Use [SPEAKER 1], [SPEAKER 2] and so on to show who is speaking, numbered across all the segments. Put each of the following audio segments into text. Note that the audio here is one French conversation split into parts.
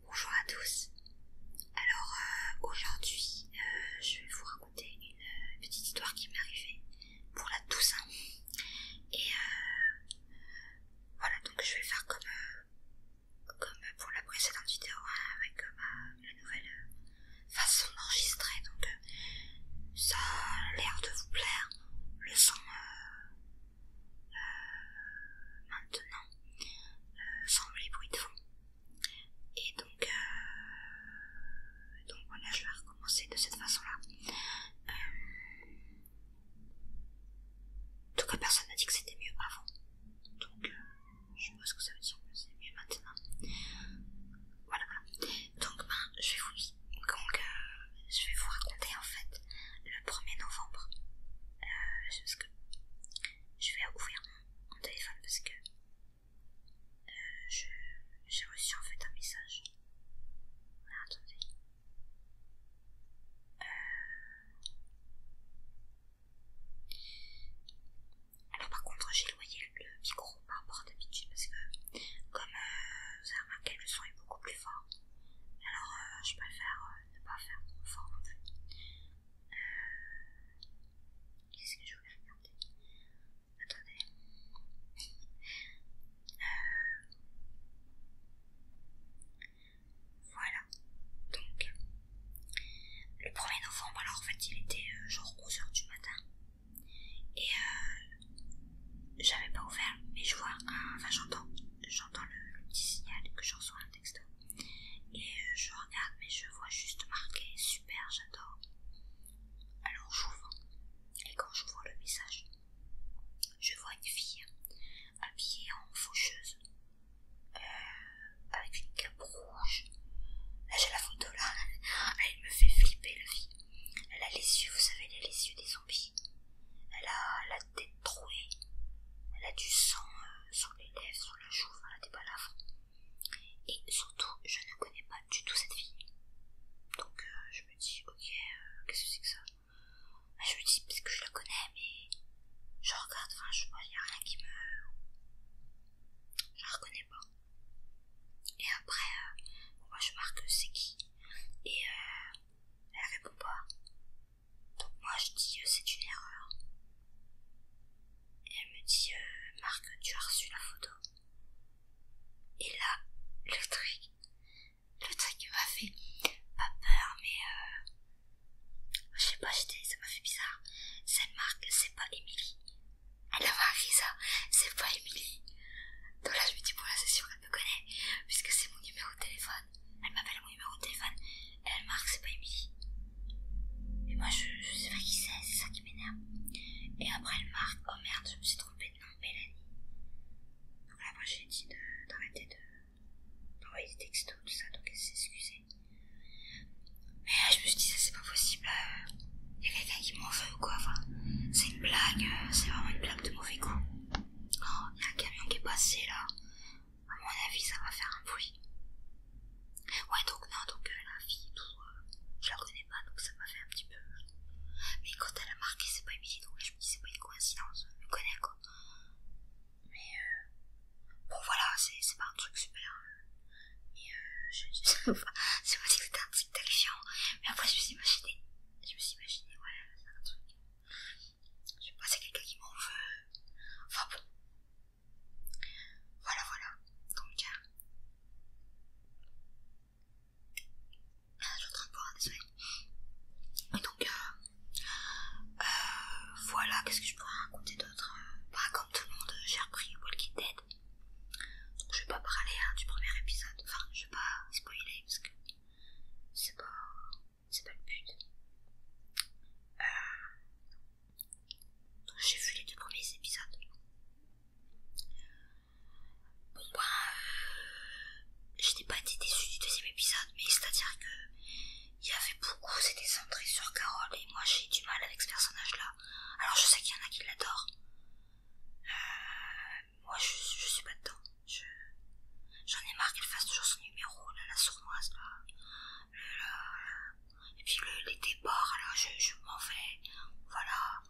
[SPEAKER 1] Bonjour à tous. Alors euh, aujourd'hui, euh, je vais vous raconter une euh, petite histoire qui m'est arrivée pour la Toussaint. Et euh, voilà, donc je vais faire comme, euh, comme pour la précédente vidéo hein, avec ma, euh, bah, nouvelle façon d'enregistrer. Donc ça a l'air de vous plaire, le son maintenant, semble sans les bruits de fond. Et donc, donc voilà, je vais recommencer de cette façon-là. Euh, en tout cas, personne n'a dit que c'était mieux avant. Donc, euh, je sais pas ce que ça veut dire que c'est mieux maintenant. Voilà, voilà. Donc, ben, je vais vous, euh, je vais vous raconter en fait le 1er novembre. je vais ouvrir mon, téléphone parce que j'ai reçu en fait un message Attendez. Euh, alors par contre j'ai loyé le, micro par rapport à d'habitude parce que comme vous euh, avez remarqué le son est beaucoup plus fort. Alors euh, je préfère ne pas faire trop fort en plus. Qu'est-ce que je voulais regarder Attendez. Euh, voilà. Donc, le 1er novembre, alors en fait, il était euh, genre 11h du matin. Et euh, j'avais pas ouvert, mais je vois un. Enfin, j'entends j'entends le petit signal que je reçois un texto. Et euh, je regarde, mais je vois juste marqué super, j'adore. Alors j'ouvre. Et quand j'ouvre le message, je vois une fille habillée en faucheuse, euh, avec une cape rouge. Là, j'ai la photo là, elle me fait flipper la fille. Elle a les yeux, vous savez, les yeux des zombies. Elle a la tête trouée, elle a du sang euh, sur les lèvres, sur la joue, elle a des balafres. Et surtout, je ne connais pas du tout cette fille. Donc, euh, je me dis, ok, euh, qu'est-ce que c'est que ça ah, Je me dis, parce que je la connais, mais je regarde, enfin, je vois, il n'y a rien qui me. Je la reconnais pas. Et après, euh, moi je marque c'est qui Et euh, elle répond pas. Donc moi je dis c'est une erreur. Et elle me dit Marc, tu as reçu la photo. Et là, le truc, le truc m'a fait pas peur, mais euh, je sais pas, ça m'a fait bizarre. Cette marque, c'est pas Emily. Elle a marqué ça, c'est pas Emily. Donc là, je me dis, bon, c'est sûr qu'elle me connaît, puisque c'est mon numéro de téléphone. Elle m'appelle mon numéro de téléphone, elle marque, c'est pas Emily. Et moi, je, sais pas qui c'est, c'est ça qui m'énerve. Et après, elle marque, oh merde, je me suis trompée Mélanie. Donc là moi j'ai dit d'arrêter de, euh, d'envoyer des textos, tout ça, donc elle s'est excusée. Mais là, euh, je me suis dit, ça c'est pas possible, il euh, y a quelqu'un qui m'en veut ou quoi, enfin, c'est une blague, c'est vraiment une blague de mauvais goût. Oh, il y a un camion qui est passé là, à mon avis, ça va faire un bruit. Ouais, donc non, donc là, euh, je la connais pas donc ça m'a fait un petit peu. Mais quand elle a marqué, c'est pas évident donc je me dis c'est pas une coïncidence, je me connais quoi. Mais euh, bon voilà, c'est pas un truc super. Mais euh, euh, je, sais pas si c'était un truc mais après je me suis imaginé, je me suis imaginé, voilà, c'est un truc. Je sais pas, c'est quelqu'un qui m'en veut. Enfin bon. Voilà, voilà. Donc, euh, ah, je suis en train de boire, donc, euh, euh, voilà, qu'est-ce que je pourrais raconter d'autre euh, Bah, comme tout le monde, j'ai repris Walking Dead. je vais pas parler hein, du premier épisode. Enfin, je vais pas spoiler parce que c'est pas, pas le but. j'ai vu les deux premiers épisodes. Bon ben, je n'ai pas été déçue du deuxième épisode, mais c'est-à-dire que il y avait beaucoup, c'était centré sur Carole et moi j'ai du mal avec ce personnage-là. Alors je sais qu'il y en a qui l'adorent. Euh, moi je, suis pas dedans. J'en ai marre qu'elle fasse toujours son numéro, la sournoise, là. Et puis le, les débords, je, je m'en vais. Voilà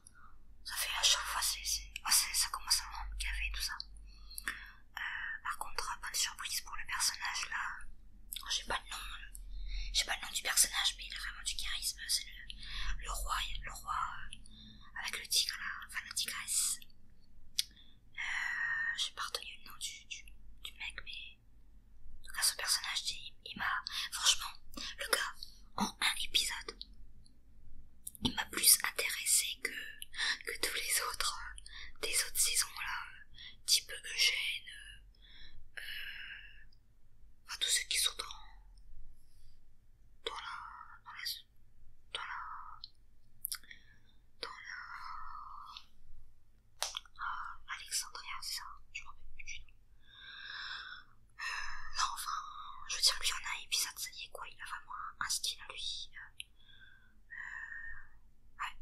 [SPEAKER 1] ça fait à chaque fois, oh, ça commence à me tout ça. Euh, par contre, pas de surprise pour le personnage là. Oh, j'ai pas le nom, j'ai pas le nom du personnage, mais il a vraiment du charisme. C'est le, roi, le roi euh, avec le tigre là, enfin la tigresse. Euh, j'ai pas retenu le nom du, mec, mais en tout cas, personnage, il m'a. Franchement, le gars, en un épisode. Il m'a plus intéressé que, que tous les autres euh, des autres saisons là, euh, type Eugène, euh, tous ceux qui sont dans, dans la, dans la, dans la, dans la, ah, Alexandria, c'est ça, je me rappelle plus du nom non, enfin, je veux dire, y en a et puis ça, y est, quoi, il a vraiment un, style lui. Euh, euh, ouais,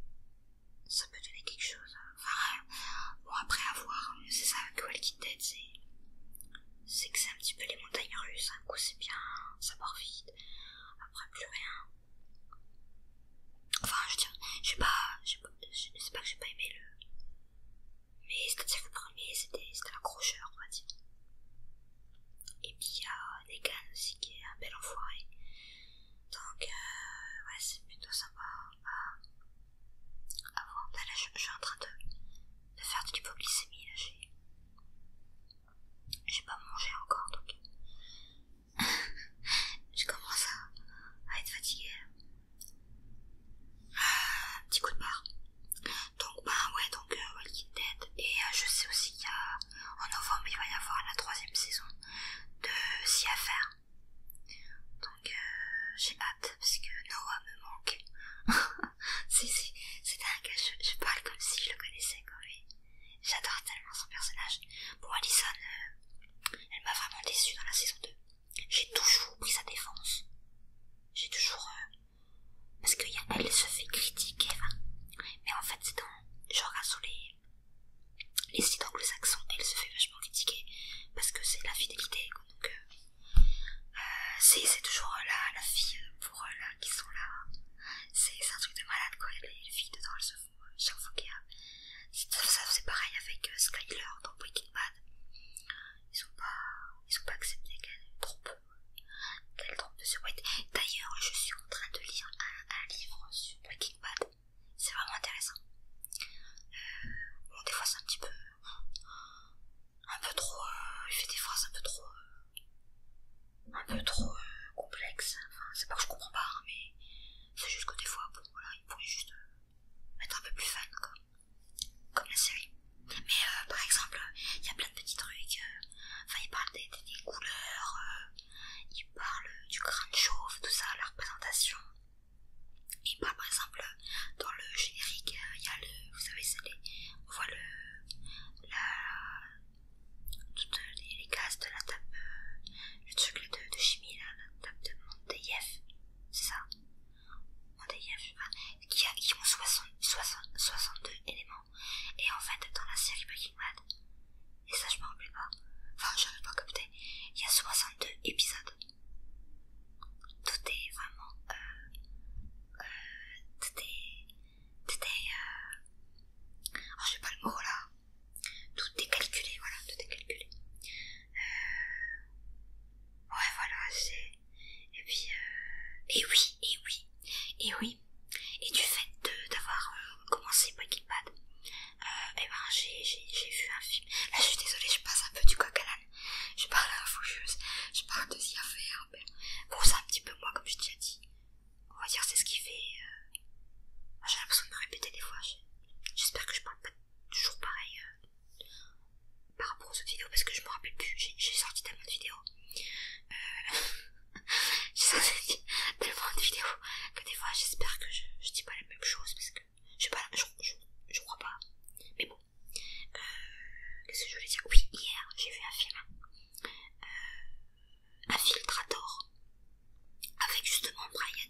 [SPEAKER 1] ça peut donner quelque chose. Hein. Enfin, euh, bon, après avoir, hein. c'est ça avec Walking Dead, c'est. C'est que c'est un petit peu les montagnes russes, un hein. coup c'est bien, ça part vite, après plus rien. Enfin, je veux dire, sais pas. C'est pas que j'ai pas aimé le. Mais c'était le premier c'était l'accrocheur, on va dire. Et puis il y a des Negan aussi qui est un bel enfoiré. Donc, euh, ouais, c'est plutôt sympa hein, à, voir. Bah, là, je, suis en train de, faire de l'hypoglycémie. Là, j'ai pas mangé encore donc. je commence à être fatiguée. Un ah, petit coup de barre. Donc bah ouais, donc euh, Walking Dead. Et euh, je sais aussi qu'en novembre il va y avoir la troisième saison de Si Donc euh, j'ai hâte parce que Noah me manque. C'est dingue, je, je parle comme si je le connaissais quoi, mais j'adore tellement son personnage. Pour Alison, elle m'a vraiment déçue dans la saison 2. J'ai toujours pris sa défense. J'ai toujours... Euh, parce qu'elle se fait critiquer, mais en fait c'est dans... Genre sur les, les sites anglo-saxons, elle se fait vachement critiquer parce que c'est la fidélité, donc euh, euh, c'est toujours la, la fille pour là qui sont là, c'est un truc de malade quoi, les, filles dedans elles se font chaque fois Ça c'est pareil avec Skyler dans Breaking Bad ils ont pas, ils sont pas accepté qu'elle trompe, qu'elle trompe de D'ailleurs, je suis en train de lire un, livre sur Breaking C'est vraiment intéressant. Euh, bon, des fois c'est un petit peu, un peu trop, euh, il fait des phrases un peu trop, euh, un peu trop complexes. Enfin, c'est pas que je comprends pas, hein, mais c'est juste que des fois, bon, voilà, il pourrait juste mettre un peu plus fun comme la série. Mais euh, par exemple, il y a plein de petits trucs. Euh, enfin, ils parlent des, couleurs, euh, ils parlent du crâne chauve, tout ça, la représentation. Et parlent par exemple, dans le générique, il y a le. Vous savez, c'est les. On voit le. La. Toutes les, les cases de la table. le truc de, chimie, là, la table de Monteyef, c'est ça qui, a, ont 62 éléments. Et en fait, dans la série Breaking Bad, et ça je m'en rappelle pas, enfin je rappelle pas capté, il y a 62 épisodes. Tout est vraiment... Euh, euh, tout est... Tout est... Euh, oh, j'ai pas le mot là. Tout est calculé, voilà, tout est calculé. Euh... Ouais, voilà, c'est... Et puis... Euh... Et oui, et oui, et oui. Et du fait d'avoir euh, commencé Breaking Bad, euh, et eh ben j'ai vu un film. Là, je suis désolée, je passe un peu du coq à l'âne. Je parle à la foucheuse, je parle de s'y affaire. Mais... Bon, c'est un petit peu moi, comme je t'ai déjà dit. On va dire, c'est ce qui fait... Euh... J'ai l'impression de me répéter des fois. J'espère que je parle pas toujours pareil euh, par rapport aux cette vidéos parce que je me rappelle plus, j'ai sorti tellement de vidéos. Euh, j'ai sorti tellement de vidéos que des fois j'espère que je, dis pas la même chose parce que je sais pas, je, crois pas. Mais bon, euh, qu'est-ce que je voulais dire Oui, hier j'ai vu un film, euh, un filtrator avec justement Brian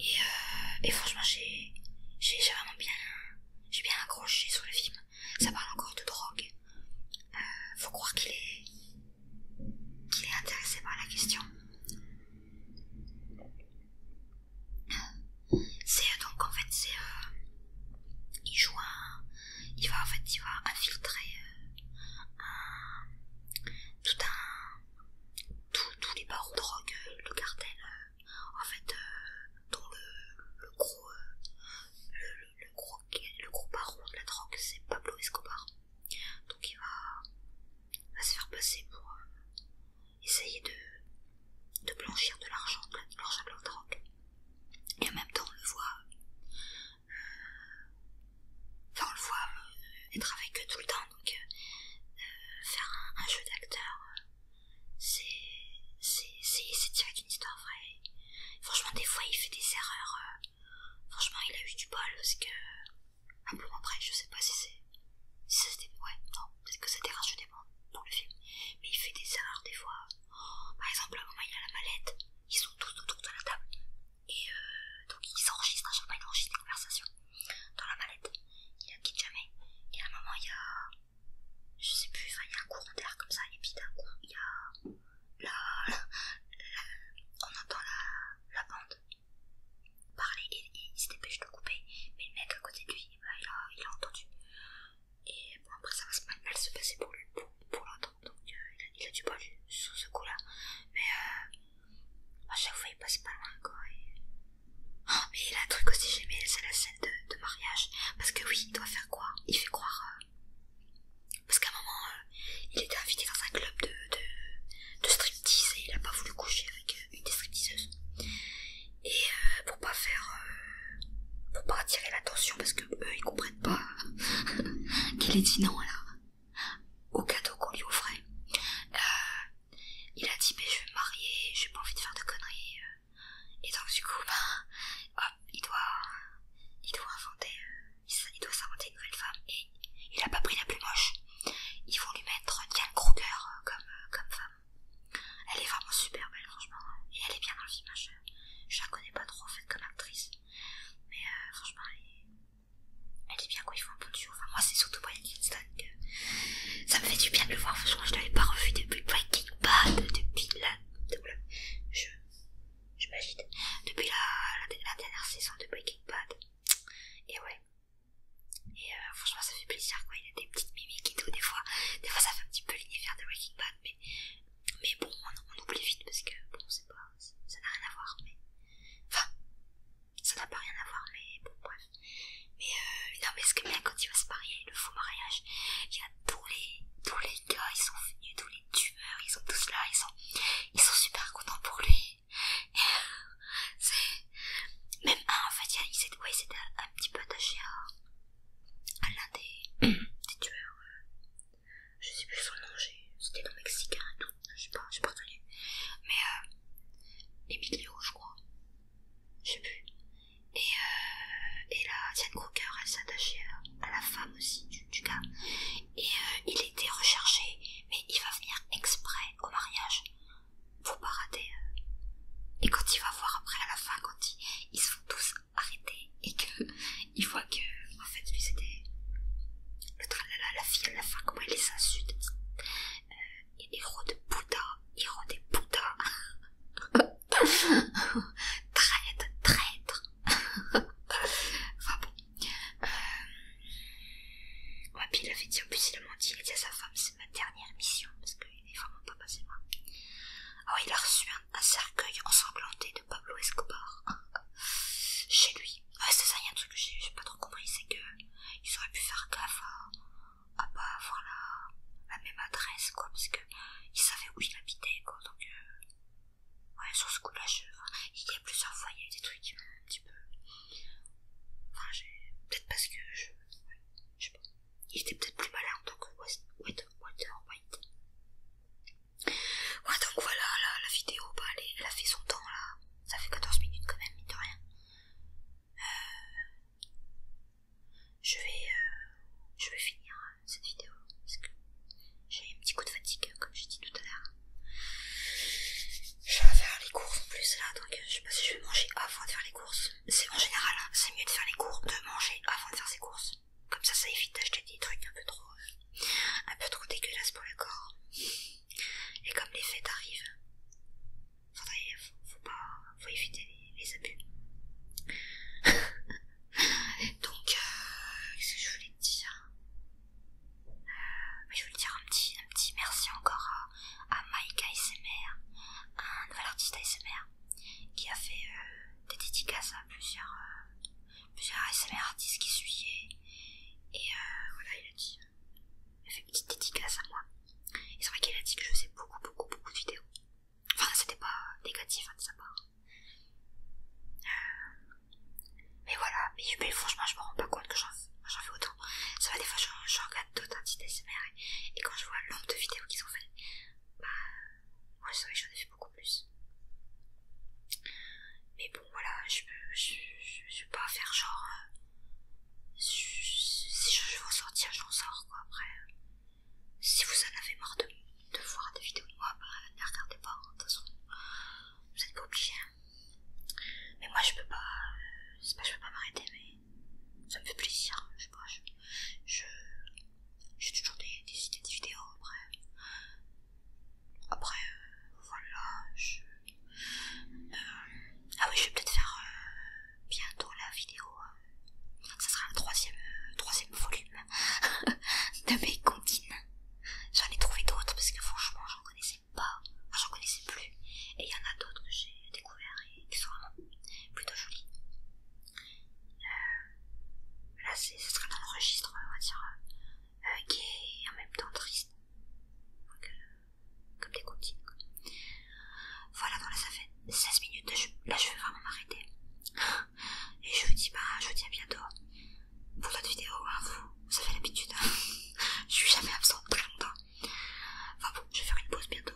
[SPEAKER 1] euh, et, franchement, j'ai vraiment bien, j'ai bien accroché sur le film. Ça parle encore de drogue. Euh, faut croire qu'il est, qu'il est intéressé par la question. C'est euh, donc en fait, c'est euh, il joue un, il va en fait, il va infiltrer un, tout un tous, les barons de drogue, euh, le cartel, euh, en fait, euh, le, gros, le, baron de la drogue, c'est Pablo Escobar. Donc il va, se faire passer pour essayer de, blanchir de l'argent, de l'argent de la drogue. Et en même temps, on le voit Enfin, on le voit être avec eux tout le temps, donc euh, euh, faire un, jeu d'acteur, euh, c'est tiré une histoire vraie.
[SPEAKER 2] Franchement, des fois, il fait
[SPEAKER 1] des erreurs. franchement, il a eu du bol parce que un peu après, je sais pas si c'est. Si c'était. Ouais, non, peut-être que c'était racheté dans le film. Mais il fait des erreurs des fois. Par exemple, à un moment, il a la mallette, ils sont tous autour de la table. Et euh, donc il s'enregistre, à chaque fois il enregistre des conversations dans la mallette, il la quitte jamais. Et à un moment il y a, je sais plus, enfin il y a un courant d'air comme ça, et puis d'un coup il y a la, on entend la, bande parler et, il se dépêche de couper, mais le mec à côté de lui, bah, il, a, entendu. Et bon après ça va se mal, se passer pour lui, pour, l'entendre, donc euh, il, a, du bol sur ce coup là. Mais euh, moi J'avoue, il passe pas loin quoi. Oh, mais il a un truc aussi j'aimais c'est la scène de, mariage. Parce que oui, il doit faire quoi Il fait croire. Euh, parce qu'à un moment, euh, il était invité dans un club de, de, de striptease et il a pas voulu coucher avec euh, une des stripteaseuses. Et pour pas faire. pour pas attirer l'attention parce que eux ils comprennent pas qu'il ait dit non là au cadeau qu'on lui offrait. Euh, il a dit mais je vais me marier, j'ai pas envie de faire de conneries. Euh. Et donc du coup, ben, il doit, il doit inventer, euh, il doit s'inventer une nouvelle femme. Et il a pas pris la plus moche. Ils vont lui mettre Diane Kruger comme, comme femme. Elle est vraiment super belle franchement. Et elle est bien dans le film. Je, la connais pas trop en fait comme actrice. Mais franchement elle elle dit bien quoi ils font un bon duo. Enfin, moi, c'est surtout Brian Kingston que ça me fait du bien de le voir. Franchement, je l'avais pas revu depuis Breaking Bad, depuis la. Je, je m'agite. Depuis la, la, dernière saison de Breaking Bad. Et ouais. Et euh, franchement, ça fait plaisir quoi. Il y a des petites mimiques et tout. Des fois, des fois ça fait un petit peu l'univers de Breaking Bad. Mais, mais bon, on, oublie vite parce que bon, c'est pas. Ça n'a rien à voir. Mais. Enfin, ça n'a pas rien à voir, mais bon, bref. Euh, mais non, mais ce que bien quand il va se marier, le faux mariage, il y a tous les, tous les gars, ils sont venus, tous les tumeurs, ils sont tous là, ils sont, ils sont super contents pour lui. C'est même un, en fait, il s'est ouais, un, un petit peu attaché à, l'un des, tueurs. Euh, je sais plus son nom, c'était le mexicain je sais pas, je sais pas connu. Mais euh, Emilio, je crois, je sais plus. Et, euh, la Diane Crocker, elle s'attachait à, euh, à la femme aussi du, gars. Et euh, il était recherché, mais il va venir exprès au mariage. Faut pas rater. Et quand il va voir après à la fin, quand il, ils se tous arrêter et qu'il voit que en fait lui c'était le tralala, la fille à la fin, comment il les insulte. Euh, héros de Bouddha, héros des Bouddhas. traître, traître. enfin bon. Euh, ouais, puis il avait dit, en plus il a menti, il a dit à sa femme, c'est ma dernière mission, parce qu'il est vraiment pas passé Ah oui, il a reçu un, un cercueil ensanglanté de Pablo Escobar chez lui ouais c'est ça, il y a un truc que j'ai pas trop compris, c'est que ils auraient pu faire gaffe à, pas avoir la, même adresse, quoi, parce que ils savaient où il habitait, quoi, donc euh, ouais, sur ce coup-là, il y a plusieurs fois, il y a eu des trucs un petit peu, enfin, j'ai, peut-être parce que je, je sais pas, il était peut-être plus malin en tant que Water Ouais, donc voilà, la vidéo, bah, elle, a fait son temps là. Ça fait 14 minutes quand même, mine de rien. Euh, euh, je, vais, finir euh, cette vidéo parce que j'ai un petit coup de fatigue, comme j'ai dit tout à l'heure. Je vais faire les courses en plus là, donc je sais pas si je vais manger avant de faire les courses. C'est en général, hein, c'est mieux de faire les courses, de manger avant de faire ses courses. Comme ça, ça évite d'acheter des trucs un peu trop un peu trop dégueulasse pour le corps. Et comme les fêtes arrivent, faudrait, faut, pas, faut éviter les, abus. Donc, euh, qu'est-ce que je voulais te dire euh, Je voulais dire un petit, un petit merci encore à, à Mike ASMR, un nouvel artiste ASMR, qui a fait euh, des dédicaces à plusieurs, plusieurs SMR artistes qui suivaient. Et euh, voilà, il a dit, il a fait une petite dédicace à moi. Et c'est vrai qu'il a dit que je faisais beaucoup, beaucoup, beaucoup de vidéos. Enfin, c'était pas négatif hein, de sa part. Euh, mais voilà, mais, franchement, je me rends pas compte que j'en fais autant. Ça va, des fois, je regarde d'autres entités ASMR et, quand je vois le nombre de vidéos qu'ils ont fait, bah, moi, c'est vrai que j'en ai fait beaucoup plus. Mais bon, voilà, je peux je, vais pas faire genre. Euh, si je veux en sortir, j'en sors quoi. Après, si vous en avez marre de, de voir des vidéos de moi, bah, ne regardez pas. Hein, de toute façon, vous n'êtes pas obligé. Hein. Mais moi, je peux pas. Euh, c'est pas je peux pas m'arrêter, mais ça me fait plaisir. Hein, je sais pas, je. J'ai toujours des idées de vidéos après. Après, euh, voilà, je... Euh, ah oui, je vais peut-être faire euh, bientôt la vidéo. Hein. ça sera le troisième, volume de mes comptines. J'en ai trouvé d'autres parce que franchement, j'en connaissais pas. j'en connaissais plus. Et il y en a d'autres que j'ai découvert et qui sont vraiment plutôt jolies. là là, ce sera dans le registre, on va dire, Ok, en même temps triste. Euh, comme des comptines. Voilà, donc là ça fait 16 minutes Là je vais vraiment m'arrêter. Et je vous dis bah, je vous dis à bientôt pour d'autres vidéos, hein, vous, avez l'habitude. Hein. je suis jamais absente très longtemps. Enfin bon, je vais faire une pause bientôt.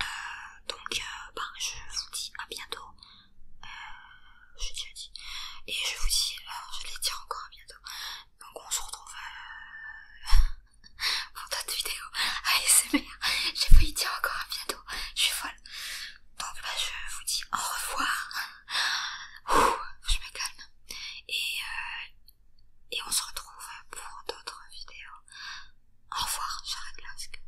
[SPEAKER 1] Euh, donc euh, bah, je vous dis à bientôt je l'ai déjà dit. Et je vous dis, alors euh, je vais dit dire encore à bientôt. Donc on se retrouve euh, pour d'autres vidéos ASMR. J'ai failli dire encore à bientôt. Je suis folle. Donc bah, je vous dis au revoir. je me calme. Et, euh, et on se retrouve pour d'autres vidéos. Au revoir, j'arrête là. Parce que...